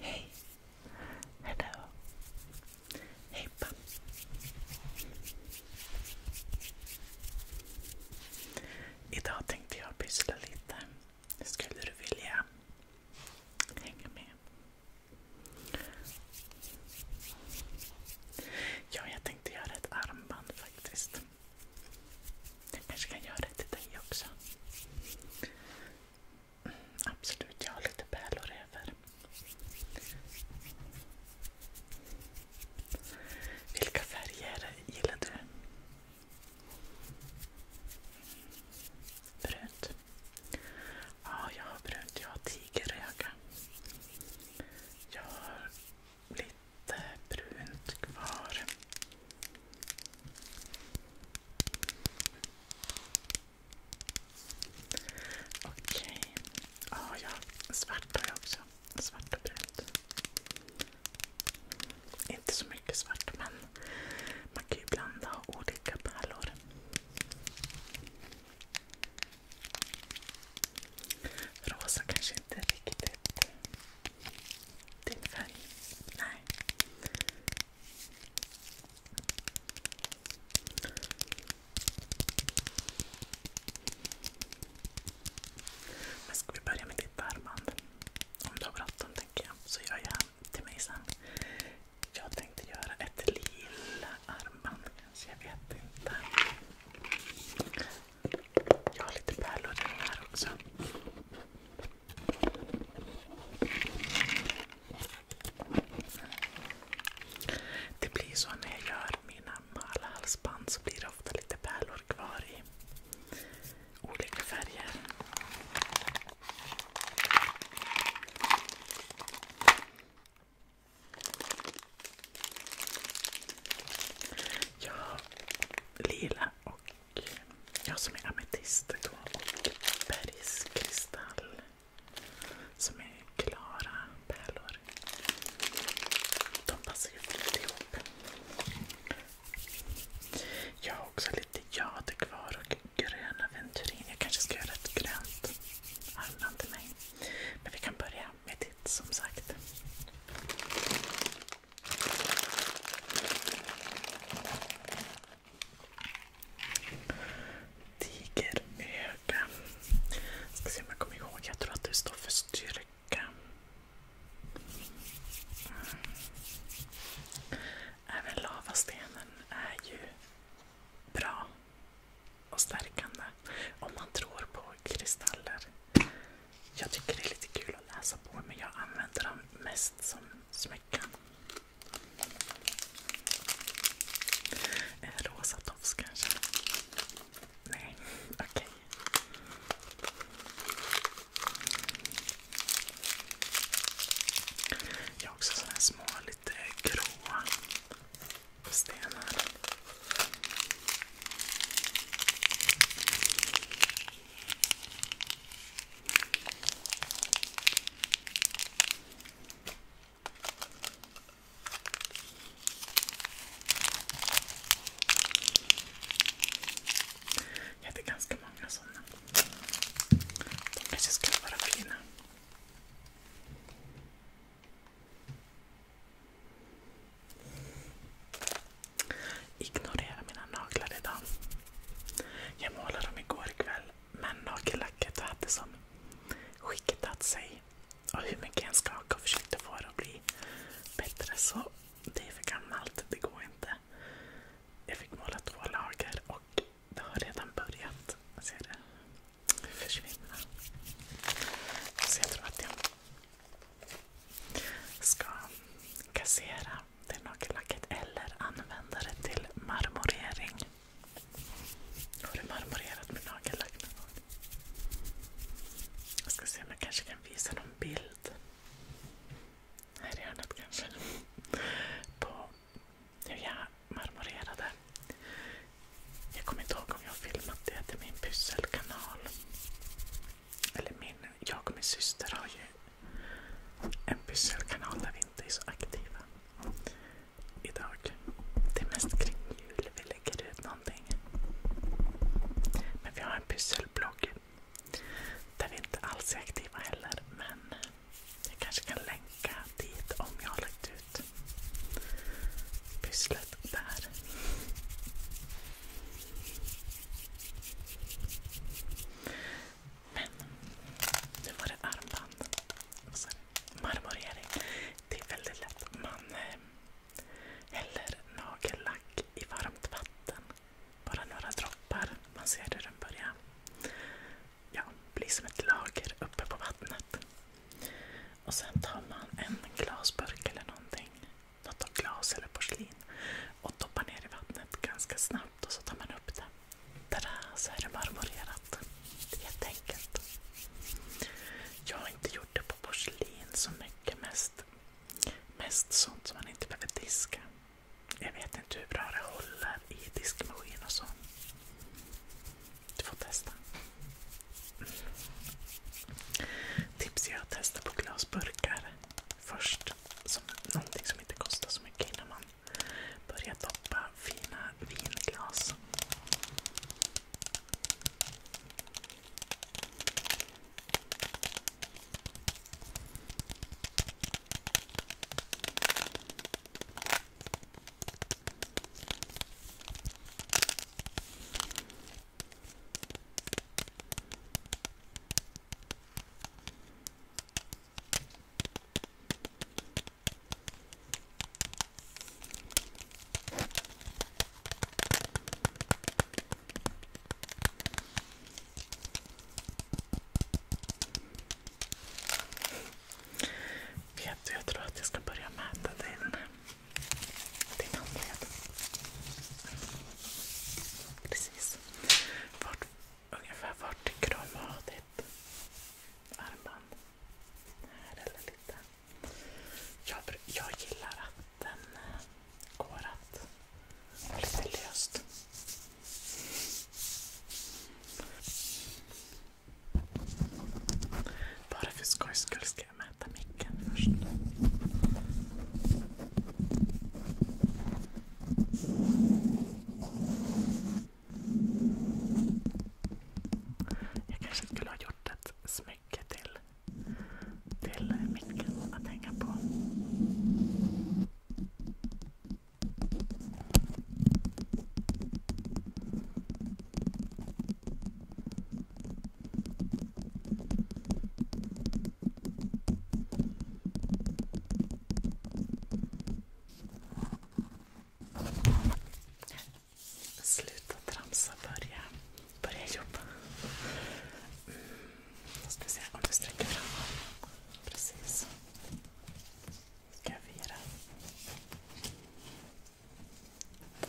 Hej! Hello! Hej pappa! Idag tänkte jag pyssla lite. Skulle du vilja hänga med? Ja, jag tänkte göra ett armband faktiskt. Jag kanske kan göra det till dig också. Mm, absolut, jag har lite pärlor över. Vilka färger gillar du? Brunt? Ja, jag har brunt. Jag har tigeröga. Jag har lite brunt kvar. Okej. Ja, ah, jag svart har jag också. Svart och brunt. Inte så mycket svart, men man kan ju blanda olika pärlor. Rosa kanske inte riktigt din färg? Nej. Men ska vi börja med ditt armband? Om du har bråttom tänker jag, så gör jag till mig sen. Jag tänkte göra ett lila armband kanske, jag vet inte. Jag har lite pärlor i den här också. Det blir så när jag gör mina malhalsband så blir det ofta lite pärlor kvar i olika färger. Jag har lila och jag som är ametist då, och bergskristall som är klara pärlor. De passar ju fint ihop. Jag har också lite jade kvar och grön aventurin. Jag kanske ska göra ett grönt armband till mig. Men vi kan börja med ditt som sagt. Tigeröga. Jag ska se om jag kommer ihåg. Jag tror att det står för styrka. Även lavastenen är ju bra och stärkande om man tror på kristaller. Jag tycker det är lite kul att läsa på men jag använder dem mest smycken. En eh, rosa tofs kanske? Nej, okej. Jag har också såna här små, lite gråa stenar. Jag hade ganska många sådana. De kanske skulle vara fina. Ignorera mina naglar idag. Jag målade dem igår kväll men nagellacket hade som skiktat sig. Och hur mycket jag skakade och försökte få det att bli bättre så det är för gammalt. Det går inte. Jag fick måla två lager och det har redan börjat. Jag ser det försvinna. Så jag tror att jag ska kassera det nagellacket eller använda det till marmorering. Har du marmorerat med nagellack någon gång? Jag ska se om jag kanske kan visa någon bild. Här i hörnet kanske. På hur jag marmorerade. Jag kommer inte ihåg om jag har filmat det till min pysselkanal. Eller min, jag och min syster har ju en pysselkanal där vi inte är så aktiva idag. Det är mest kring jul vi lägger ut någonting. Men vi har en pysselblogg där vi inte alls är aktiva heller. Men jag kanske kan länka dit om jag har lagt ut pysslet där. Men nu var det armband. Marmorering. Det är väldigt lätt. Man eh, häller nagellack i varmt vatten. Bara några droppar. Man ser hur den börjar ja, bli som ett lager uppe på vattnet. Sen tar man en glasburk eller någonting. Något av glas eller porslin och doppar ner i vattnet ganska snabbt snabbt och så tar man upp det. Tada, så är det marmorerat. Det är Helt enkelt. Jag har inte gjort det på porslin så mycket. Mest, mest sånt som man inte behöver diska. Jag vet inte hur bra det håller i diskmaskin och så. Du får testa. Mm. Tips är att testa på glasburkar först som, någonting som inte kostar så mycket innan man börjar doppa fina vinglas. Vet du, jag tror att jag ska börja mäta din, din handled. Precis. Vart ungefär vart krama ditt armband. Här eller lite. Jag, jag gillar att den går att lite löst. Bara för skojs skull ska jag mäta micken först. Jag kanske skulle ha gjort ett smycke till, till micken att hänga på. Sluta tramsa, börja, börja jobba. Mm. Måste se om du sträcker fram Precis. Ska jag vira?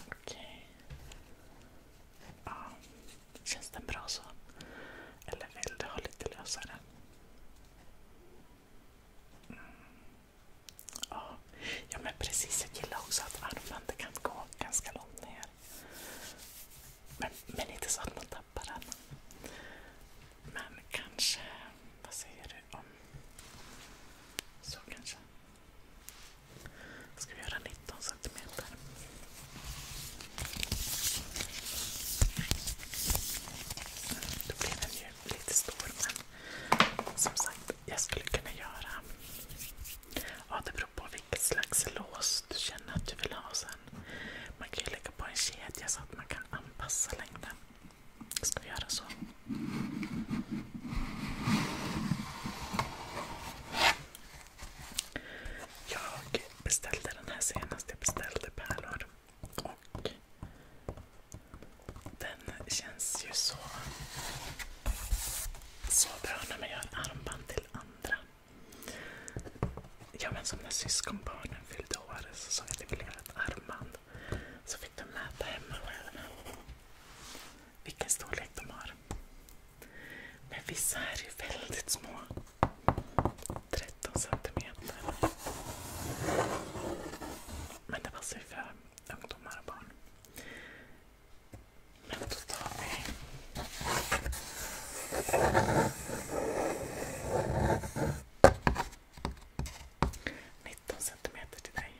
Okej. Okay. Ja. Känns den bra så? Eller vill du ha lite lösare? Mm. Ja. men precis. Jag gillar också att armbandet kan gå ganska långt ner. Men, men inte så att man tappar den. Men kanske... Vad säger du om... Så kanske. Ska vi göra 19 centimeter? Då blir den ju lite stor men som sagt, jag skulle kunna göra... Ja, det beror på vilket slags lås du känner att du vill ha sen. Man kan ju lägga på en kedja så att man kan anpassa längden. Jag ska göra så. Jag beställde den här senast. Jag beställde pärlor. Och den känns ju så, så bra när man gör armband till andra. Ja, men som när syskonbarnen fyllde år så sa jag att jag ville ett armband. Så fick de mäta hemma själva vilken storlek de har. Men vissa är ju väldigt små. 13 centimeter. Men det passar ju för ungdomar och barn. Men då tar vi... Nitton centimeter till dig.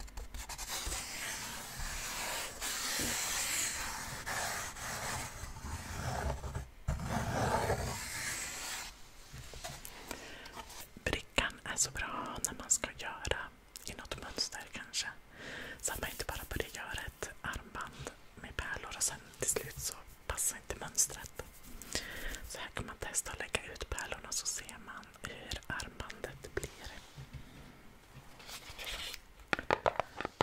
Brickan är så bra när man ska göra i något mönster kanske. Så att man inte bara börjar göra ett armband med pärlor och sen till slut så passar inte mönstret. Så här kan man testa att lägga ut pärlorna så ser man hur armbandet blir.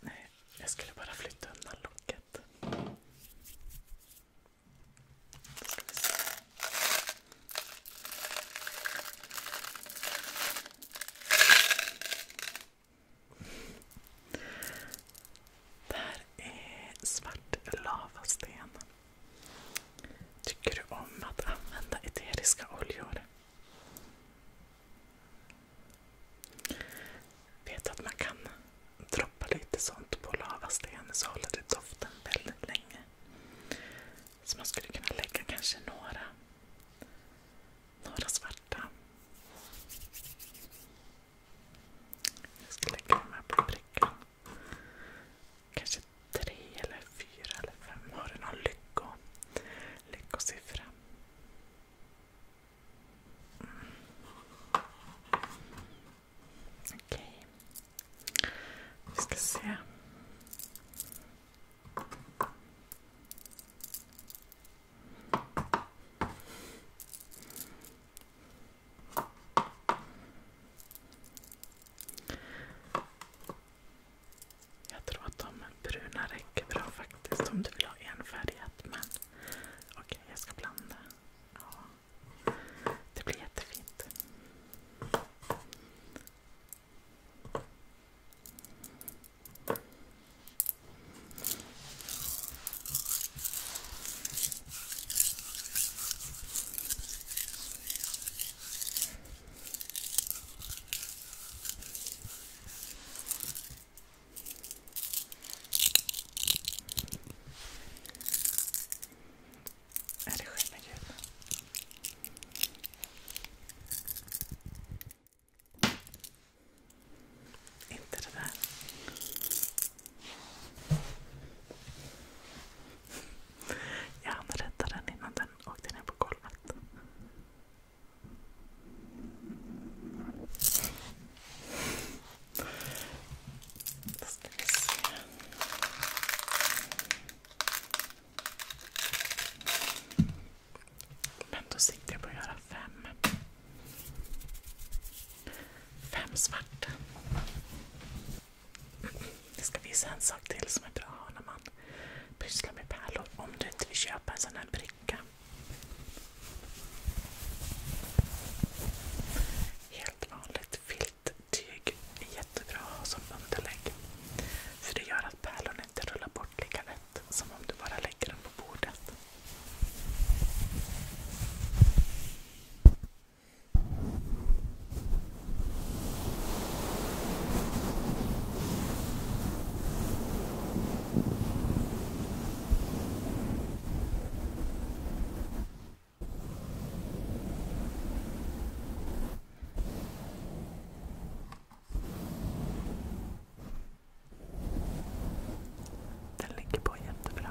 Nej, jag skulle bara flytta undan locket. Ska vi se. Det här är svart lavasten. Tycker du om att använda eteriska oljor? Vet att man kan droppa lite sånt på lavasten så håller det doften väldigt länge. Så man skulle kunna lägga kanske några, svarta. Jag ska lägga de här på brickan. Kanske tre eller fyra eller fem. Har du någon lycko, lyckosiffra? Mm. Okej. Okay. Vi ska se. Jag tror att de bruna räcker bra faktiskt om du vill ha enfärgat. Men okej, okay, jag ska blanda. Ja, det blir jättefint. Är det skimmergul? Inte det där. Jag hann rädda den innan den åkte ner på golvet. Då ska vi se. Men då siktar jag på att göra fem. Fem svarta. Jag ska visa en sak till som är bra när man pyssla med pärlor om du inte vill köpa en sån här bricka. Helt vanligt filttyg är jättebra att ha som underlägg. För det gör att pärlorna inte rullar bort lika lätt som om du bara lägger dem på bordet. Den ligger på jättebra.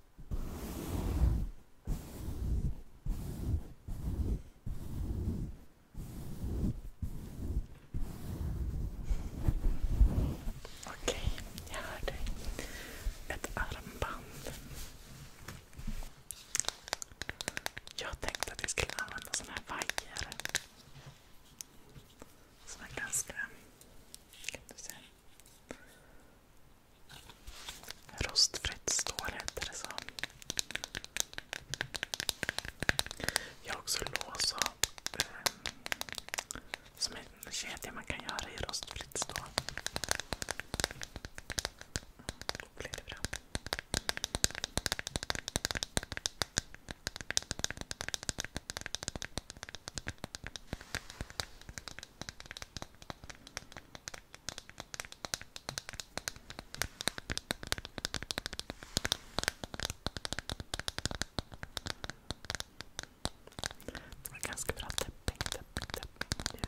Okej, jag hör dig. Ett armband. Jag tänkte att vi skulle använda såna här vajer. Som är ganska... Kan du se? Rostfritt stål heter det så. Jag har också lås och, eh, um, som en kedja man kan göra i rostfritt stål. Det var ganska bra tapping, tapping, tapping ljud.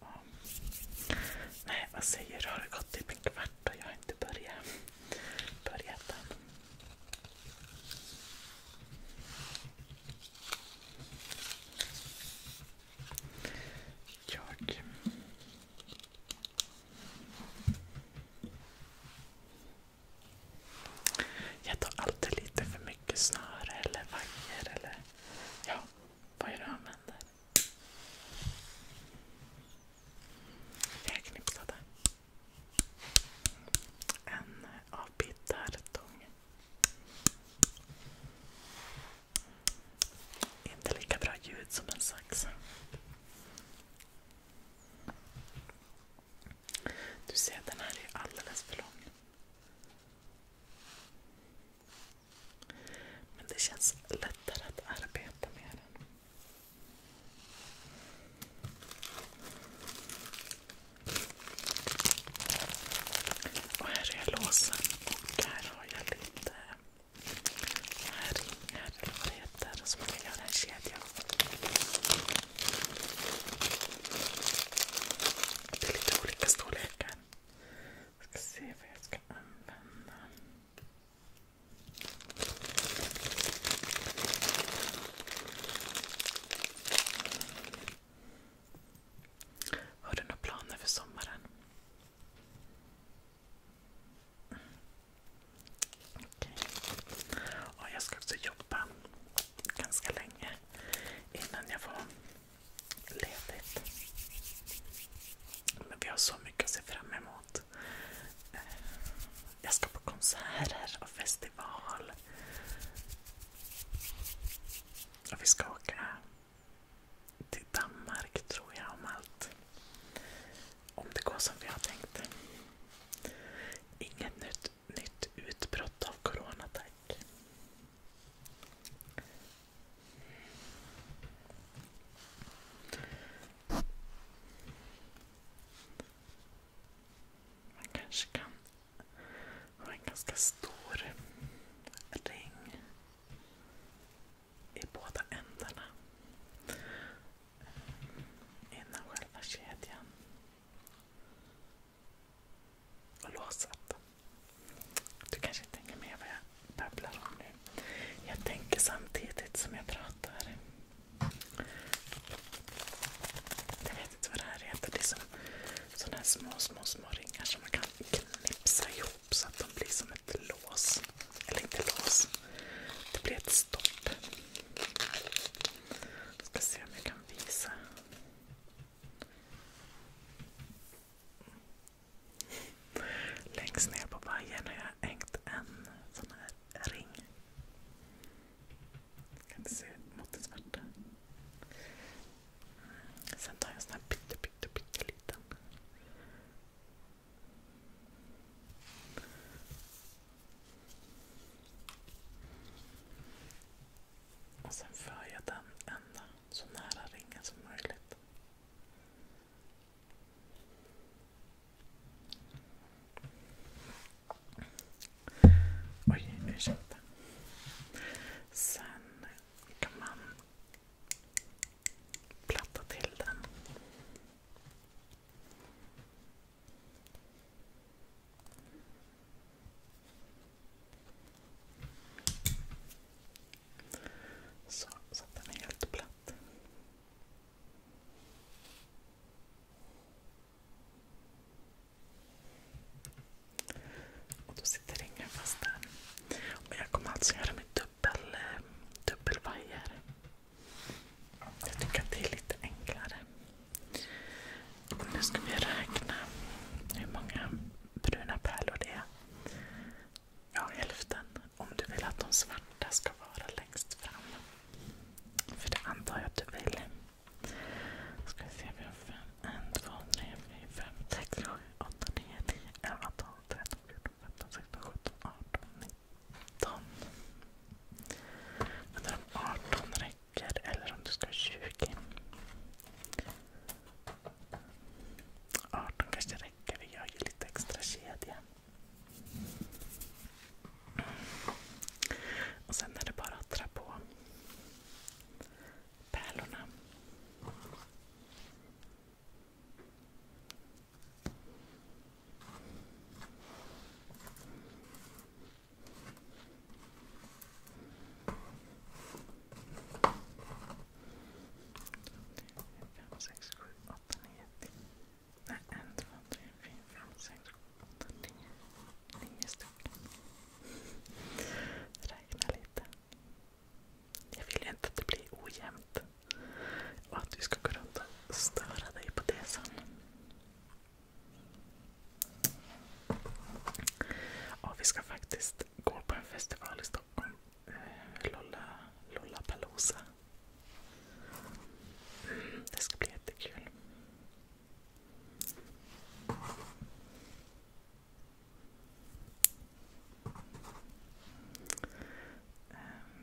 Ja. Nej, vad säger du? Har det gått typ en kvart och jag har inte börjat, börjat än? Jag jag tar alltid lite för mycket snöre eller vajer eller ja, vad jag använder. Jag knipsade en avbitartång. Inte lika bra ljud som en sax. Du ser, den här är alldeles för lång. Men det känns lättare att arbeta med den. Och här är låsen och här har jag lite här ringar eller vad det heter som jag kan göra en kedja av. Det är lite olika storlekar. Jag ska se vad jag ska använda. Har du några planer för sommaren? jag ska också jobba ganska länge innan jag får ledigt. Men vi har så mycket att se fram emot. Eh, jag ska på konserter och festival. vi ska åka till Danmark tror jag om allt om det går som vi har tänkt. Inget nytt, nytt utbrott av corona tack. Man kanske kan ha en ganska stor ring i båda ändarna innan själva kedjan. Och låset. Du kanske tänker med vad jag babblar om nu. Jag tänker samtidigt som jag pratar. Jag vet inte vad det här heter. Det är som här små, små, små ringar som man kan knipsa ihop så att de blir som ett lås. Eller inte lås. Det blir ett stopp. Jag ska se om jag kan visa. Längst ner på vajern har jag hängt en sån här ring. Jag kan inte se mot det svarta. Sen tar jag en sån här pytte, pytte, pytte liten. Och sen för jag den ända så nära ringen som möjligt. Oj, ursäkta. Sen kan man platta till den. Så, så att den är helt platt. Och då sitter ringen fast där. jag kommer alltså göra med dubbel, eh, dubbelvajer. Jag tycker att det är lite enklare. Nu ska vi räkna hur många bruna pärlor det är. Ja, hälften. Om du vill att de svarta ska vara längst fram. För det antar jag att du vill. Ska vi se, vi har 5, 1, 2, 3, 4, 5, 6, 7, 8, 9, 10, 11, 12, 13, 14, 15, 16, 17, 18, 19, 15. Men om 18 räcker eller om du ska ha 20. 18 kanske räcker. Vi gör ju lite extra kedja. Och sen är det bara att dra på pärlorna fem sex sju åtta nio 10. Nej, en, två, tre, fyra, fem, sex, sju, åtta, nio. Nio stycken. Räkna lite. Jag vill ju inte att det blir ojämnt. Och att du ska gå runt och störa dig på det sen. Ja, vi ska faktiskt gå på en festival i Stockholm. Eh, Lolla, Lollapalooza. Mm, det ska bli jättekul. Ehm,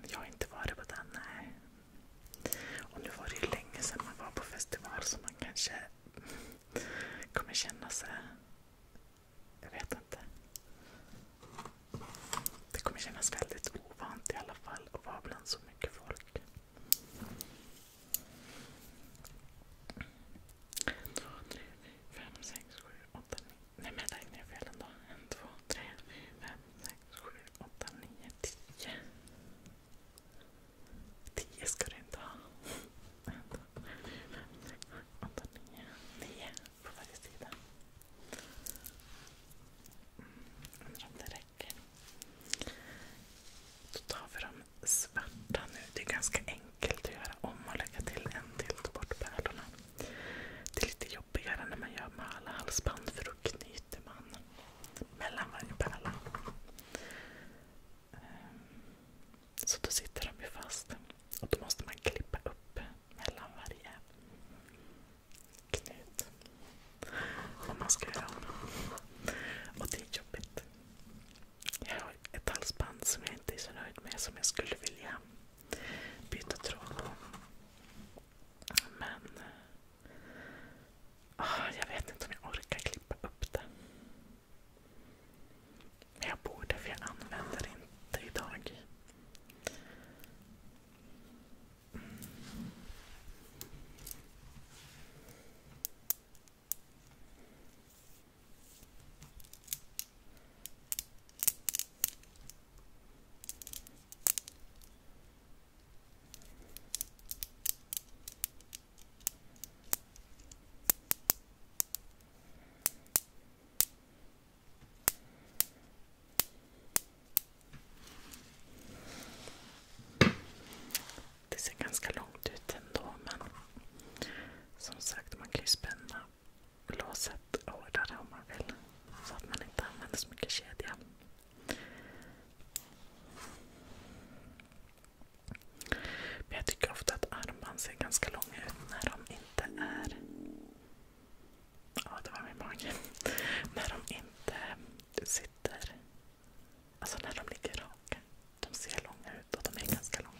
jag har inte varit på den, nej. Och nu var det ju länge sedan man var på festival så man kanske kommer känna sig... Jag vet inte. Det kommer kännas väldigt ovant i alla fall att vara bland så mycket folk. två, tre, fem, sex, sju, åtta, nio. Nej men jag fel ändå. En, två, tre, fem, sex, sju, åtta, nio, tio. 10 ska du inte ha. Vänta, 9. 9 på varje sida. Mm, undrar om det räcker. Då tar vi de svarta nu. Det är ganska enkelt att göra om och lägga till en till. Ta bort pärlorna. Det är lite jobbigare när man gör med alla halsband för då knyter man mellan varje pärla. Ehm, så då sitter de ju fast. Och då måste man klippa upp mellan varje knut. Om man ska göra om. Och det är jobbigt. Jag har ett halsband som jag inte är så nöjd med som jag skulle vilja byta tråd på. Men Ah, jag vet inte om jag orkar klippa upp det. Men jag borde för jag använder det inte idag. Mm. Det ser ganska långt ut ändå men som sagt man kan ju spänna låset hårdare om man vill så att man inte använder så mycket kedja. Men jag tycker ofta att armband ser ganska långa ut när de inte är... Ja, det var min mage. När de inte sitter... Alltså när de ligger raka. De ser långa ut och de är ganska långa.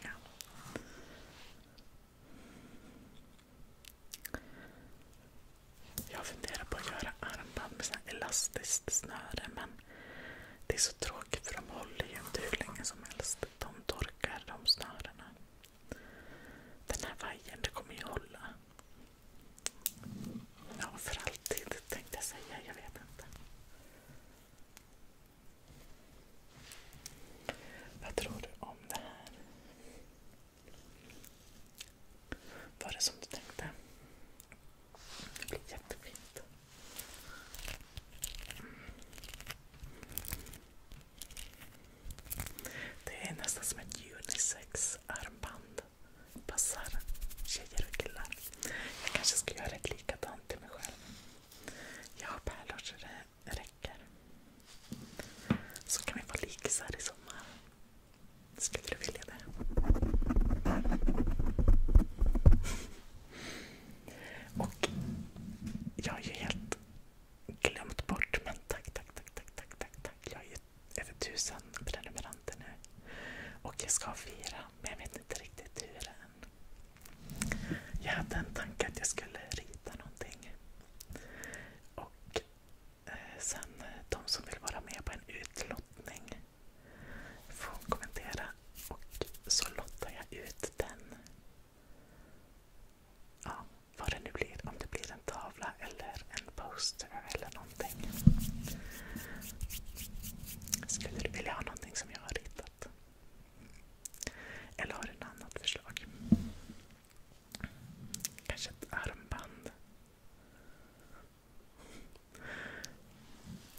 Jag funderar på att göra armband med elastiskt snöre men det är så tråkigt för de håller ju inte hur länge som helst. De torkar de snörena. Den här vajern, det kommer ju hålla. Ja, för alltid tänkte jag säga. Jag vet inte. Vad tror du om det här? Var det som du tänkte? Det blir jättefint. Det är nästan som ett unisex-armband. Passar tjejer och killar. Jag kanske ska göra ett likadant till mig själv. Jag har pärlor så det räcker. Så kan vi vara likisar i sommar. Skulle du vilja det? Och jag har ju helt glömt bort, men tack, tack, tack, tack, tack, tack, tack. Jag har ju över tusen prenumeranter nu. Och jag ska fira, men jag vet inte riktigt hur än. Jag hade en tanke att jag skulle rita någonting. Och Sen de som vill vara med på en utlottning får kommentera och så lottar jag ut den. Ja, vad det nu blir. Om det blir en tavla eller en poster eller någonting. Skulle du vilja ha någonting som jag har ritat? Eller har du något annat förslag? Kanske ett armband?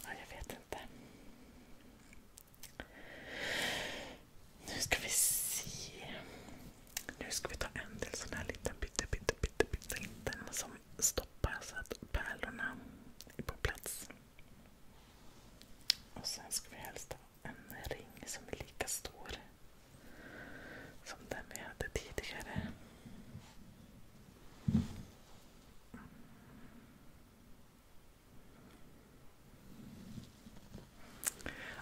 Ja, jag vet inte. Nu ska vi se. Nu ska vi ta en till sån här liten pytte, pytte, pytte, pytte liten som stoppar så att pärlorna är på plats. Och sen ska vi helst ha en ring som är lika stor som den vi hade tidigare.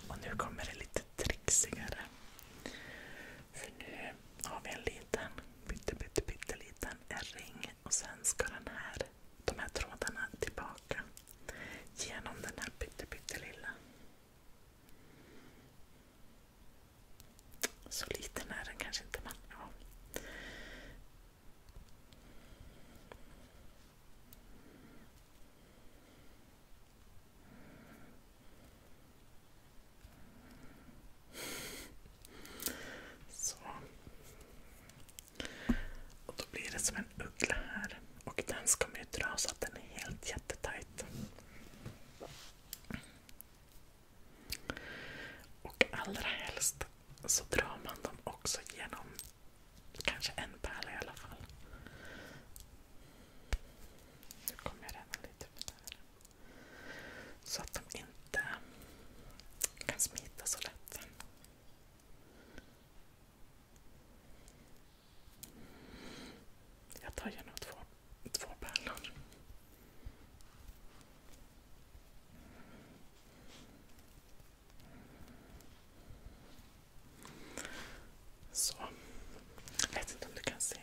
Och nu kommer det lite trixigare. För nu har vi en liten, pytte, pytte, pytte liten ring och sen ska den här, de här trådarna tillbaka genom den här pytte, pytte lilla. Så liten är den kanske inte, men ja. Så. Och då blir det som en uggla här. Och den ska man ju dra så att den är helt jättetajt. Och allra helst så drar man dem också genom kanske en pärla i alla fall. Nu kommer jag ränna lite med det Så att de inte kan smita så lätt. Jag tar gärna två Två pärlor. Så. Jag vet inte om du kan se.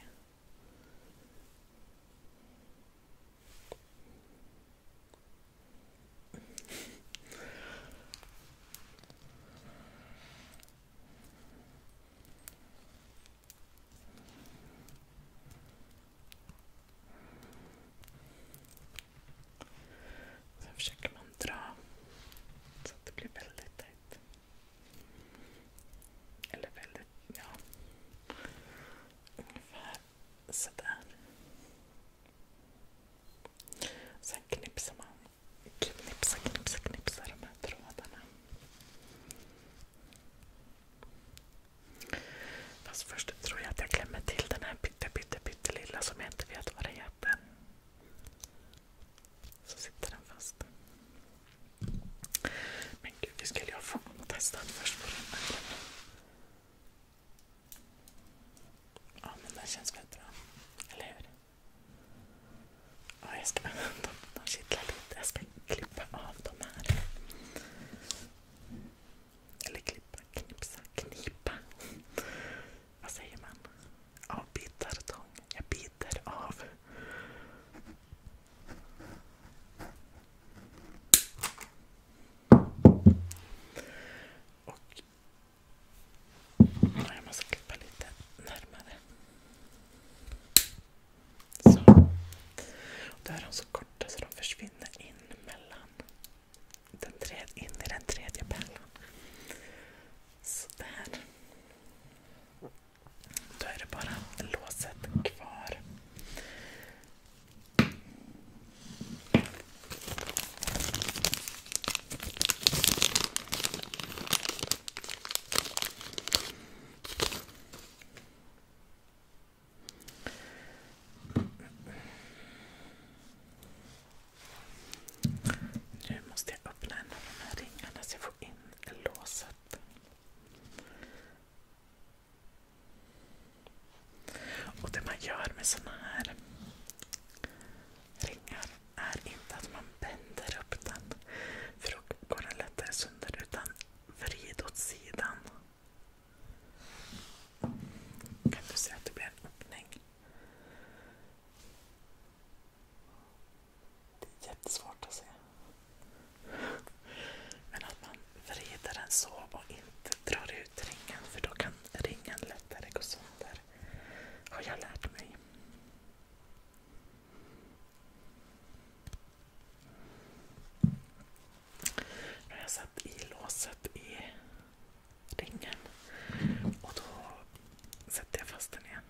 Sen försöker man dra så att det blir väldigt tajt. Eller väldigt, ja. Ungefär sådär. Sen knipsar man. Knipsa, knipsa, knipsa de här trådarna. Fast först tror jag att jag klämmer till den här pytte, pytte, lilla som jag inte vet vad det heter. Så sitter den fast. Men gud, det skulle jag få testa först på den här. Ja, men den känns väldigt bra. Eller hur? Ja, jag ska, de, de kittlar lite. Jag ska klippa av de här. Eller klippa, knipsa, knipa. Vad säger man? Avbitartång. Jag biter av. Och jag måste klippa lite närmare. Så. Och då är de så korta så de försvinner in mellan den tredje, in i den tredje pärlan. Sådär. Då är det bara låset kvar. Nu måste jag öppna en av de här ringarna så jag får in låset. Och det man gör med såna här ringar är inte att man bänder upp den för då går den lättare sönder Vrid åt sidan. Kan du se att det blir en öppning? Det är jättesvårt att se. Men att man vrider den så och inte drar ut ringen för då kan ringen lättare gå sönder. Har jag lärt mig. Nu har jag satt i låset i ringen och då sätter jag fast den igen.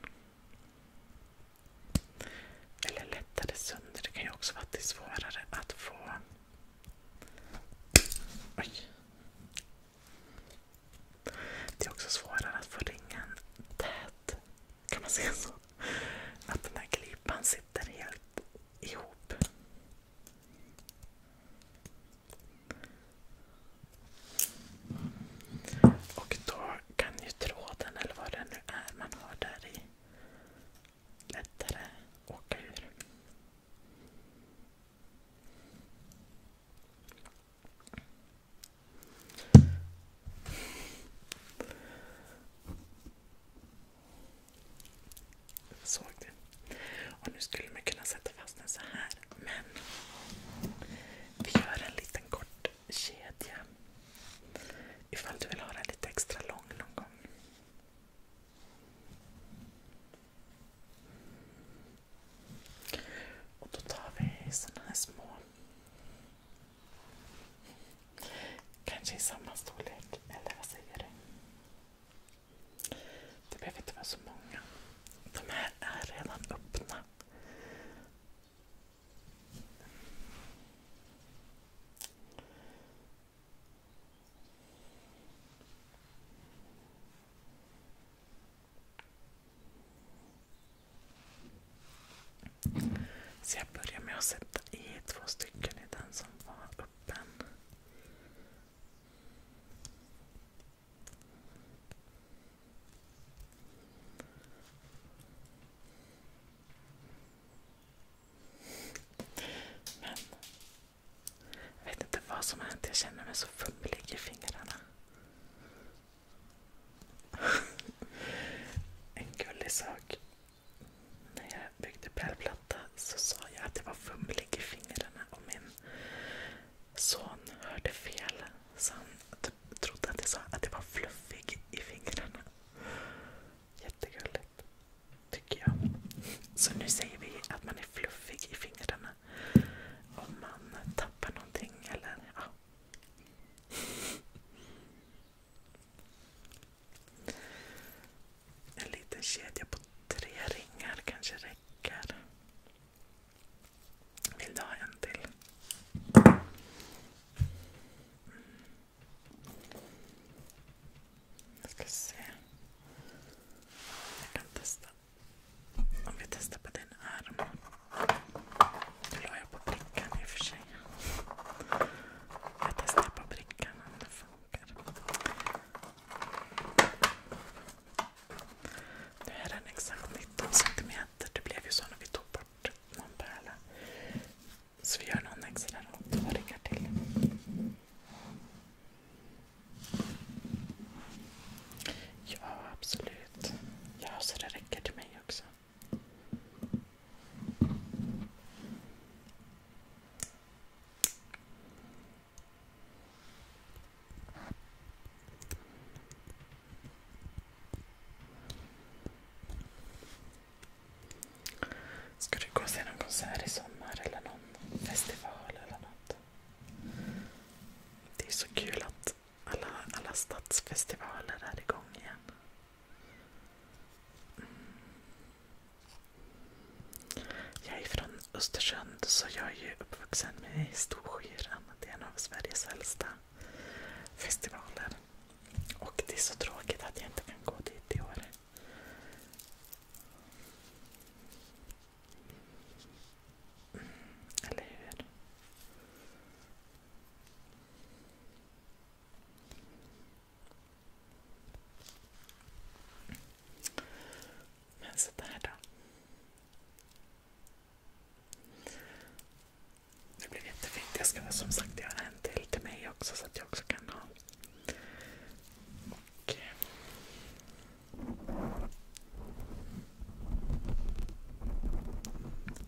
Eller lättare sönder. Det kan ju också vara att det är svårare att få... Oj. Det är också svårare att få ringen tät. Kan man säga så? Att den här glipan sitter helt ihop. Och då kan ju tråden, eller vad det nu är man har där i, lättare åka ur. Såg du? Och nu skulle man kunna sätta fast den så här. Men vi gör en liten kort kedja. Ifall du vill ha den lite extra lång någon gång. Och då tar vi såna här små Kanske i samma storlek, eller vad säger du? Det behöver inte vara så många. De här är redan öppna. Så jag börjar med att sätta i två stycken i den som var öppen. Men jag vet inte vad som har hänt. Jag känner mig så fumlig i fingrarna en gullig sak. När jag byggde pärlplatta så sa jag att jag var fumlig i fingrarna och min son hörde fel. Så han trodde att jag sa att jag var fluffig i fingrarna. Jättegulligt. Tycker jag. Så nu säger vi att man är fluffig i fingrarna. Om man tappar någonting eller ja. En liten kedja på tre ringar kanske räcker. Vill du ha en till? Jag kan testa. Om vi testar på din arm. Nu la jag på brickan i och för sig. Jag testar på brickan om det funkar. Nu är den exakt 19 cm. Det blev ju så när vi tog bort någon pärla. Så vi gör någon extra rad och riggar till. Ja, absolut. Ja, så det räcker till mig också. Ska du gå och se någon konsert i sommar eller någon festival eller något? Det är så kul att alla stadsfestivaler är igång igen. Jag är från Östersund så jag är ju uppvuxen med Storskyran. Det är en av Sveriges äldsta festivaler. Och det är så tråkigt att jag inte kan gå dit i år. Mm, eller hur? Men sådär då. Det blev jättefint. Jag ska som sagt göra en till till mig också så att jag också kan ha. Och,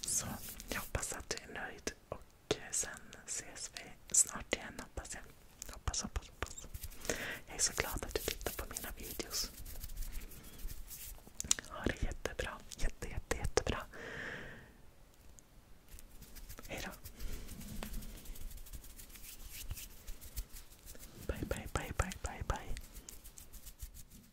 Så jag hoppas att du är nöjd och eh, sen ses vi snart igen hoppas jag. Hoppas, hoppas, hoppas. Jag är så glad att du tittar på mina videos. Ha det jättebra. Jätte, jätte, jättebra. Hejdå. Bye, bye, bye, bye, bye, bye.